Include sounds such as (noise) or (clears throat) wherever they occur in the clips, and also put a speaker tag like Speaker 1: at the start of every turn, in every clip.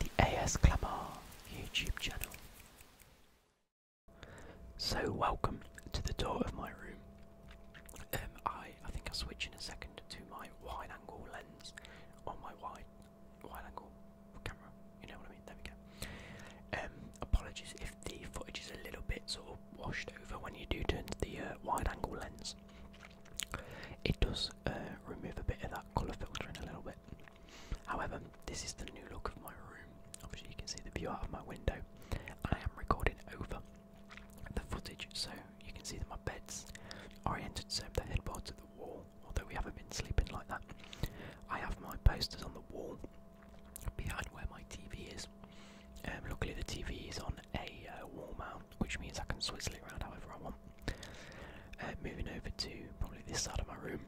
Speaker 1: The AS Clamar YouTube channel. So welcome to the door of my room. Um, I I think I'll switch in a second to my wide-angle lens on my wide wide-angle camera. You know what I mean? There we go. Um, apologies if the footage is a little bit sort of washed over when you do turn to the uh, wide angle lens, it does uh, remove a bit of that colour filter filtering a little bit. However, this is the new look of my room. Obviously, you can see the view out of my window. I am recording over the footage, so you can see that my bed's are oriented so the headboard's are the wall, although we haven't been sleeping like that. I have my posters on the wall behind where my TV is. and um, luckily, the TV is on a uh, wall mount, which means I can swivel it around however I want. Uh, moving over to probably this side of my room,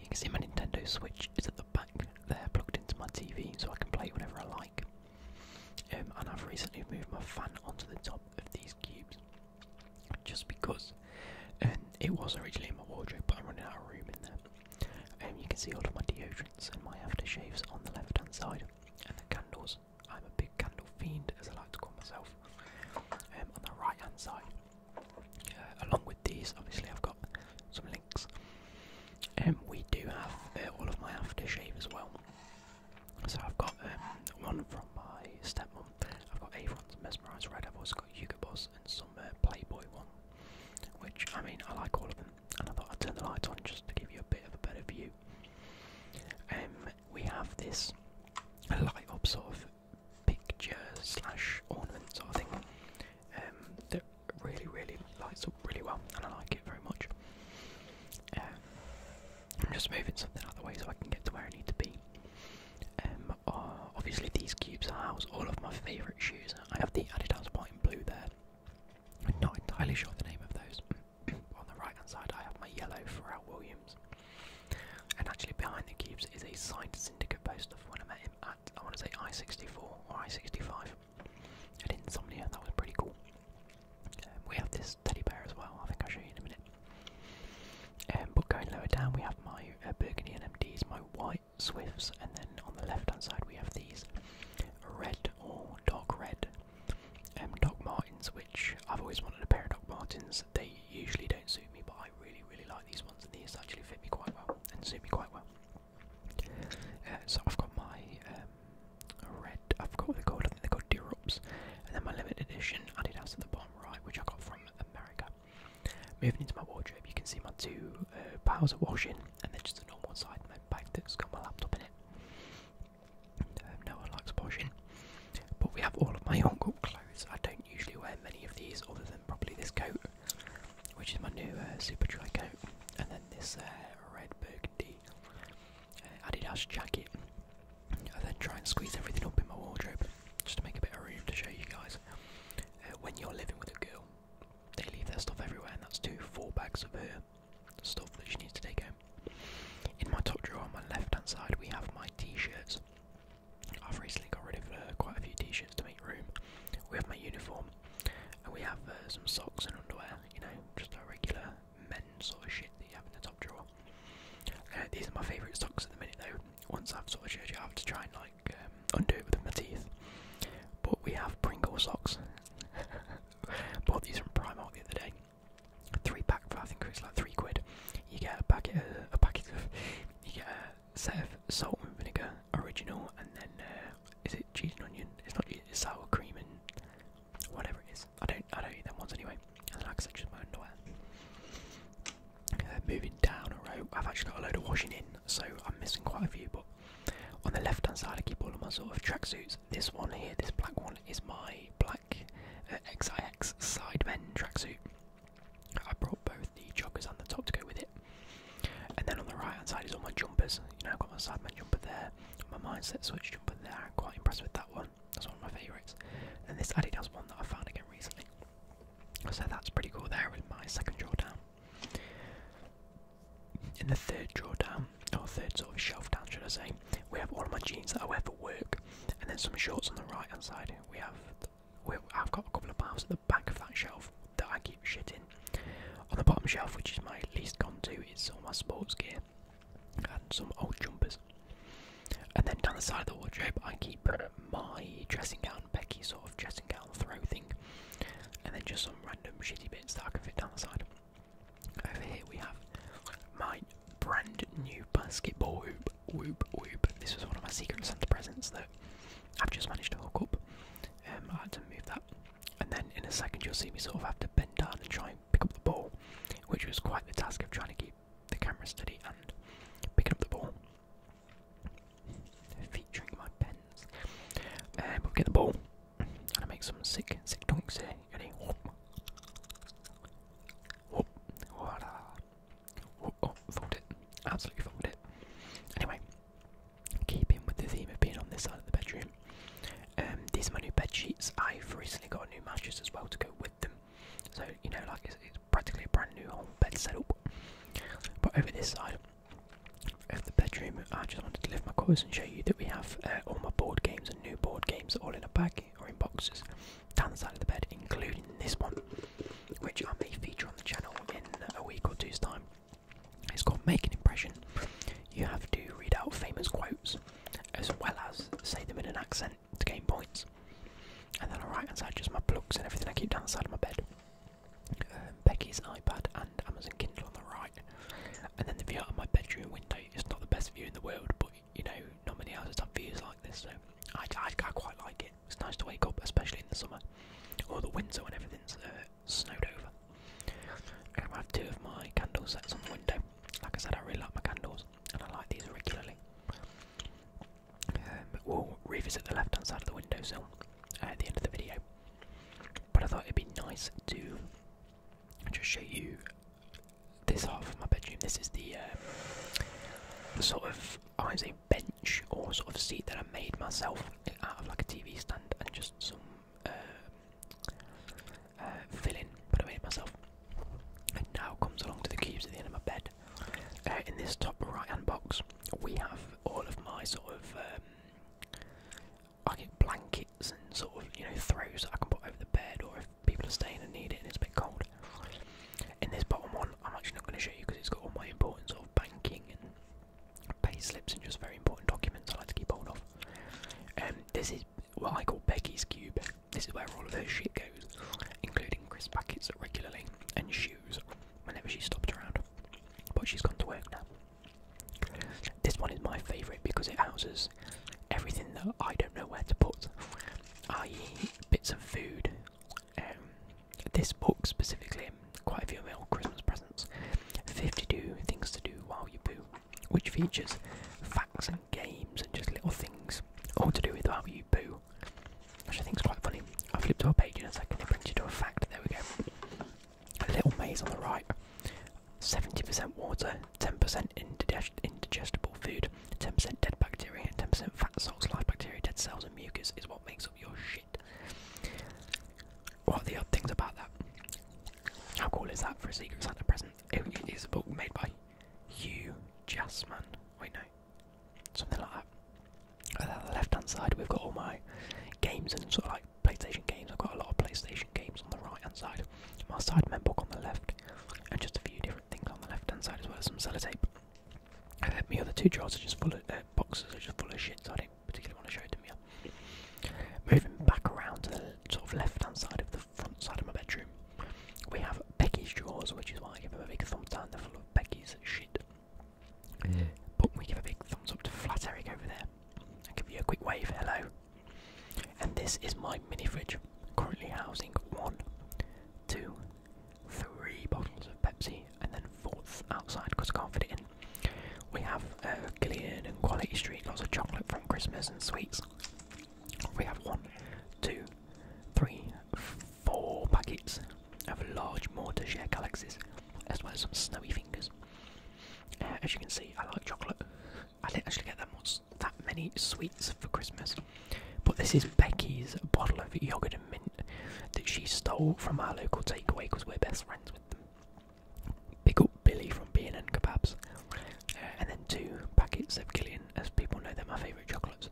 Speaker 1: you can see my Nintendo Switch is at the back there, plugged into my TV, so I can play it whenever I like. Um, and I've recently moved my fan onto the top of these cubes, just because. Um, it was originally in my wardrobe, but I'm running out of room in there. And um, you can see all of my deodorants and my aftershaves on the left hand side, and the candles. I'm a big candle fiend, as I like to call myself. And um, on the right hand side, uh, along with these, obviously, I've got some links. And um, we do have uh, all of my aftershave as well. So I've got one from my stepmom. I've got Avon's Mesmerized Red. I've also got Hugo Boss and some uh, Playboy one. Which I mean, I like all of them and I thought I'd turn the lights on just to give you a bit of a better view. Um, we have this light up sort of picture slash ornament sort of thing um, that really, really lights up really well, and I like it very much. Um, I'm just moving something out of the way so I can get to where I need to be. Um, uh, obviously, these cubes house all of my favourite shoes. I have the Adidas white and blue there. I'm not entirely sure the name of those. (clears throat) On the right hand side, I have my yellow Pharrell Williams. And actually, behind the cubes is a signed syndicate poster for when I met him at, I want to say, I 64 or I 65 at Insomnia. That was pretty cool. Um, we have this teddy bear as well, I think I'll show you in a minute. Um, but going lower down, we have my uh, Burgundy NMDs, my white swifts, and then on the left hand side we have these red or dark red M um, Doc Martins, which I've always wanted a pair of Doc Martins. They usually don't suit me, but I really, really like these ones, and these actually fit me quite well and suit me quite well. Uh, so I've got my um, red, I've got what they're called, I think they're called Durops, and then my limited edition Adidas at the bottom right, which I got from America. Moving into my wardrobe, you can see my two uh, piles of washing and then just a normal side, and then back that's got my laptop in it. Um, no one likes poshing. But we have all of my uncle clothes. I don't usually wear many of these other than probably this coat, which is my new uh, super dry coat, and then this uh, red burgundy uh, Adidas jacket. I then try and squeeze everything up in my wardrobe just to make a bit of room to show you guys. Uh, when you're living with a girl, they leave their stuff everywhere, and that's two four bags of her stuff that she needs to take home. In my top drawer on my left hand side, we have my t shirts. I've recently got rid of uh, quite a few t shirts to make room. We have my uniform, and we have uh, some socks and underwear, you know, just a regular men's sort of shit that you have in the top drawer. Uh, these are my favourite socks at the minute, though. Once I've sort of changed, I have to try and like um, undo it with my teeth. But we have Pringle socks. (laughs) Bought these from Primark the other day. Three pack for I think it was like three quid. You get a packet, a packet of, you get a set of salt and vinegar original, and then uh, is it cheese and onion? It's not cheese, it's sour cream and whatever it is. I don't, I don't eat them ones anyway. And like I said, just my underwear. Uh, moving down a row, I've actually got a load of washing in, so I'm missing quite a few, but on the left hand side, I keep all of my sort of track suits. This one here, this black one, is my black XIX uh, Side XIX track suit. I brought both the joggers and the top to go with it. And then on the right hand side is all my jumpers. You know, I've got my Side Man jumper there, my Mindset Switch jumper there. I'm quite impressed with that one. That's one of my favourites. And this Adidas one that I found again recently. So that's pretty cool there with my second drawdown. In the third drawdown, or third sort of shelf down, should I say, we have all of my jeans that I wear for work, and then some shorts on the right hand side. We have, I've got a couple of pairs at the back of that shelf that I keep shit in. On the bottom shelf, which is my least gone to, is all my sports gear and some old jumpers. And then down the side of the wardrobe, I keep my dressing gown around sort of dressing gown throw thing, and then just some random shitty bits that I can fit down the side. Over here we have my brand new basketball hoop, This was one of my Secret Santa presents that I've just managed to hook up. Um, I had to move that, and then in a second you'll see me sort of have to bend down and try and pick up the ball, which was quite the task of trying to keep the camera steady and picking up the ball featuring my pens. And um, we'll get the ball. And I make some sick, sick donks here. Ready? Whoop. Voila. Oh, fold it. Absolutely fold it. Anyway, keeping with the theme of being on this side of the bedroom, um, these are my new bed sheets. I've recently got a new mattress as well to go with them. So, you know, like it's, it's practically a brand new whole bed setup. But over this side, of the bedroom, I just wanted to lift my covers and show you that we have uh, all my board games and new board games all in a bag or in boxes down the side of the bed, including this one, which I may feature on the channel in a week or two's time. It's called Make an Impression. You have to read out famous quotes as well as say them in an accent to gain points. And then on the right hand side, just my plugs and everything I keep down the side of my bed. Um, Becky's iPad and Amazon Kindle on the right, and then the view out of my bedroom window is not the best view in the world, but you know, not many houses have views like this, so I, quite like it. It's nice to wake up, especially in the summer or the winter when everything's uh, snowed over. I have two of my candle sets on the window. Like I said, I really like my candles, and I like these regularly. Um, we'll revisit the left hand side of the windowsill uh, at the end of the video. But I thought it'd be nice to just show you this half of my bedroom. This is the, um, sort of I would say bench or sort of seat that I made myself out of like a TV stand and just some uh, uh, filling that I made myself. And now comes along to the cubes at the end of my bed. Uh, in this top right hand box, we have all of my sort of um, I get blankets and sort of you know throws that I can put over the bed, or if people are staying and need it and it's a bit cold. In this bottom one, I'm actually not going to show you because it's got all my important sort of banking and pay slips and just very important documents I like to keep hold of. And um, this is what I call Becky's Cube. This is where all of her shit goes, including crisp packets regularly and shoes whenever she stopped around. But she's gone to work now. This one is my favourite because it houses everything that I don't know where to put, i.e., bits of food. Um, this book specifically, quite a few of Christmas presents. 52 Things to Do While You Poo, which features facts and games and just little things all to do with how you poo which I think is quite funny. I'll flip to our page in a second, it brings you to a fact. There we go. A little maze on the right. 70% water, 10% indigestible food, 10% dead bacteria, 10% fat cells, live bacteria, dead cells, and mucus is what makes up your shit. What are the odd things about that? How cool is that for a Secret Santa present? It is a book made by Hugh Jassman. Wait, no. Something like that on the left hand side, we've got all my games and sort of like PlayStation games. I've got a lot of PlayStation games on the right hand side, my side book on the left, and just a few different things on the left hand side as well as some sellotape. And then my other two drawers are just full of uh, boxes, are just full of shit, so I don't particularly want to show them to me. Moving back around to the sort of left hand side of the front side of my bedroom, we have Becky's drawers, which is why I give them a big thumbs down. They're full of Becky's shit. But we give a big thumbs up to Flat Eric over there. I'll give you a quick wave, hello. And this is my mini fridge, currently housing one, two, three bottles of Pepsi, and then fourth outside because I can't fit it in. We have uh, Gillian and Quality Street, lots of chocolate from Christmas and sweets. We have one, two, three, four buckets. I have a large mortar share galaxies, as well as some snowy fingers. Uh, as you can see, I like chocolate. I didn't actually get that much, that many sweets for Christmas, but this is Becky's bottle of yogurt and mint that she stole from our local takeaway because we're best friends with them. Big up Billy from B&N Kebabs, uh, and then two packets of Gillian, as people know they're my favourite chocolates.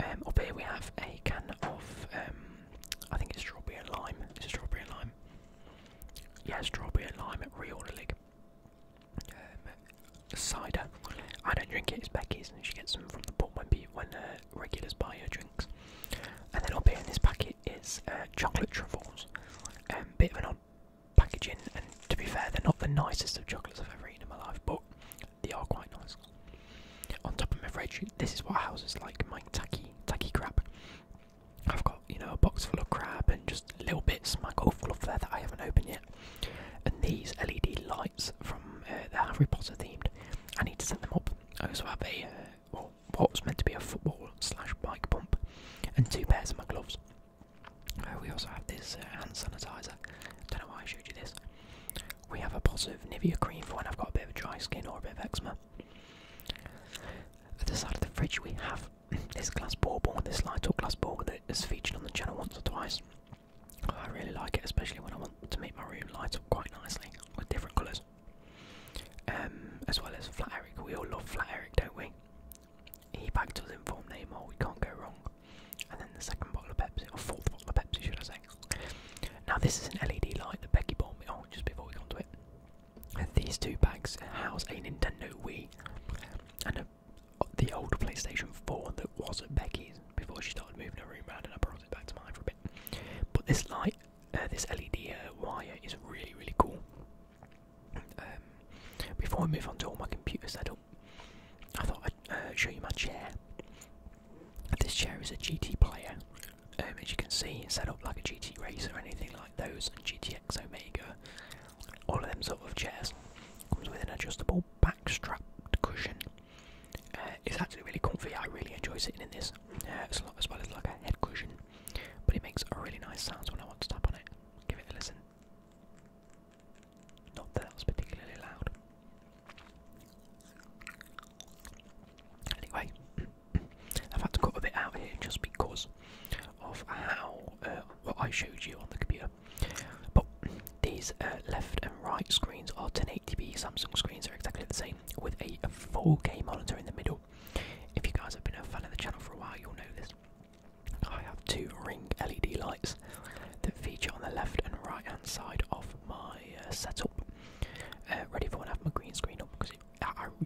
Speaker 1: Um, up here we have a can of, um, I think it's strawberry lime. strawberry lime. Yeah, strawberry and lime at Real League. Um, cider. I don't drink it. It's Becky's, and she gets some from the pub when when uh, regulars buy her drinks. And then up here in this packet is uh, chocolate truffles. Um, bit of an odd packaging, and to be fair, they're not the nicest of chocolates I've ever eaten in my life, but they are quite nice. On top of my fridge, this is what houses like my tacky, tacky crab. I've got, you know, a box full of crab and just little bits, my golf glove there that I haven't opened yet. And these LED lights from uh, the Harry Potter themed, I need to set them up. I also have a, uh, well, what's meant to be a football slash bike pump and two pairs of my gloves. Uh, we also have this uh, hand sanitizer. don't know why I showed you this. We have a positive Nivea cream for when I've got a bit of dry skin or a bit of eczema. At the side of the fridge, we have (laughs) this glass with this light up glass bauble that is featured on the channel once or twice. I really like it, especially when I want to make my room light up quite nicely with different colours. Um, as well as Flat Eric, we all love Flat Eric, don't we? He backed us in form name, or we can't go wrong. And then the second bottle of Pepsi, or fourth bottle of Pepsi, should I say? Now this is an LED light that Becky bought me. on oh, just before we got on to it, and these two bags house a Nintendo Wii and uh, the old PlayStation 4 that was at Becky's before she started moving her room around, and I brought it back to mine for a bit. But this light, uh, this LED uh, wire, is really really cool. Um, before I move on to all my computer setup, I thought I'd uh, show you my chair. This chair is a GT player. Um, as you can see, set up like a GT racer or anything like those, and GTX Omega. All of them sort of chairs. Comes with an adjustable back strap cushion. Uh, it's actually really comfy. I really enjoy sitting in this, uh, a lot as well as like a head cushion. But it makes a really nice sound when I want to tap on it. Give it a listen. Not that that was particularly loud. Anyway, (clears throat) I've had to cut a bit out here just because of how uh, what I showed you on the computer. But these uh, left and right screens are 1080p. Samsung screens are exactly the same with a 4K monitor in the middle. If you guys have been a fan of the channel for a while, you'll know this. I have two ring LED lights that feature on the left and right hand side of my uh, setup. Uh, ready for when I have my green screen up because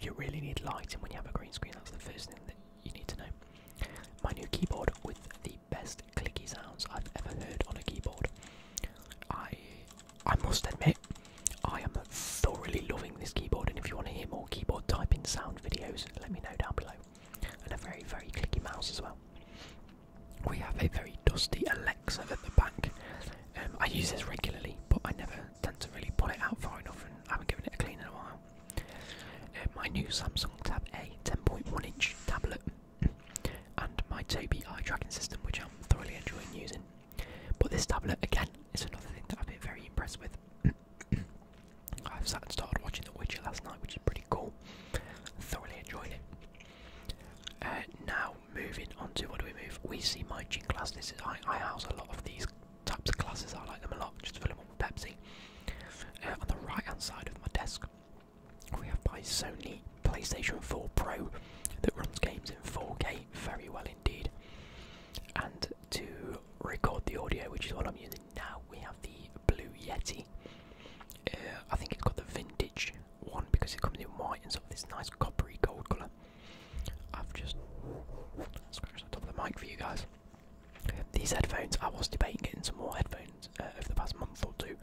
Speaker 1: you really need light, and when you have a green screen. That's the first thing that you need to know. My new keyboard with the best clicky sounds I've ever heard on a keyboard. I I must admit, I am thoroughly loving this keyboard. And if you want to hear more keyboard typing sound videos, let me know down below. And a very very clicky mouse as well we have a very dusty Alexa at the back. Um, I use this regularly, but I never tend to really pull it out far enough, and I haven't given it a clean in a while. Um, my new Samsung Tab A 10.1 inch tablet, and my Toby eye tracking system, which I'm thoroughly enjoying using. But this tablet, again, is another thing that I've been very impressed with. (coughs) I've sat and started watching The Witcher last night, which is pretty cool. Thoroughly enjoyed it. Uh, now, moving on to what do we move? We see my gin class. This is I, house a lot of these types of classes. I like them a lot. Just fill them up with Pepsi. Uh, on the right hand side of my desk, we have my Sony PlayStation 4 Pro that runs games in 4K very well indeed. And to record the audio, which is what I'm using now, we have the Blue Yeti. Uh, I think it's got the vintage one, because it comes in white and sort of this nice coppery gold colour. I've just scratched the top of the mic for you guys. These headphones, I was debating getting some more headphones uh, over the past month or two,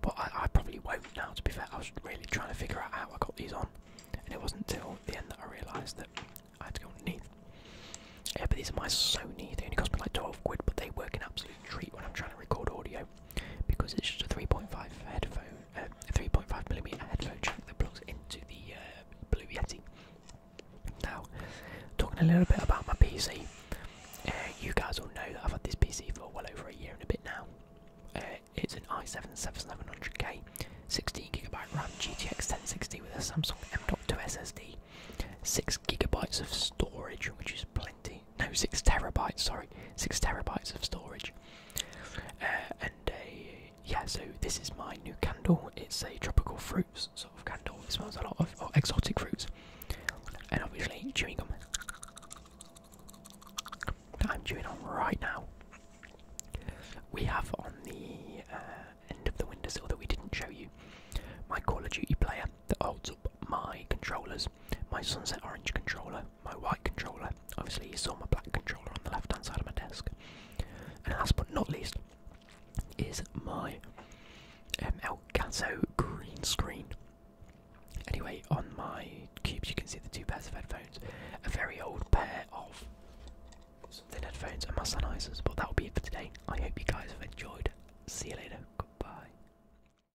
Speaker 1: but I, probably won't now. To be fair, I was really trying to figure out how I got these on, and it wasn't until the end that I realised that I had to go underneath. Yeah, but these are my Sony. They only cost me like 12 quid, but they work an absolute treat when I'm trying to record audio because it's just a 3.5 headphone, uh, a 3.5 millimeter headphone jack that plugs into the uh, Blue Yeti. Now, talking a little bit about my PC, uh, you guys all know that I've had this PC for well over a year and a bit now. it's an i7 7700K, 16GB RAM, GTX 1060 with a Samsung M.2 SSD, 6GB of storage, which is plenty no, six terabytes. Sorry, six terabytes of storage. Uh, and a, uh, yeah, so this is my new candle. It's a tropical fruits sort of candle. It smells a lot of exotic fruits, and obviously chewing gum that I'm chewing on right now. We have on the uh, end of the windowsill that we didn't show you my Call of Duty player that holds up my controllers, my Sunset Orange controller my white controller. Obviously, you saw my black controller on the left hand side of my desk. And last but not least is my um, Elgato green screen. Anyway, on my cubes, you can see the two pairs of headphones, a very old pair of thin headphones, and my Sennheisers. But that will be it for today. I hope you guys have enjoyed. See you later. Goodbye.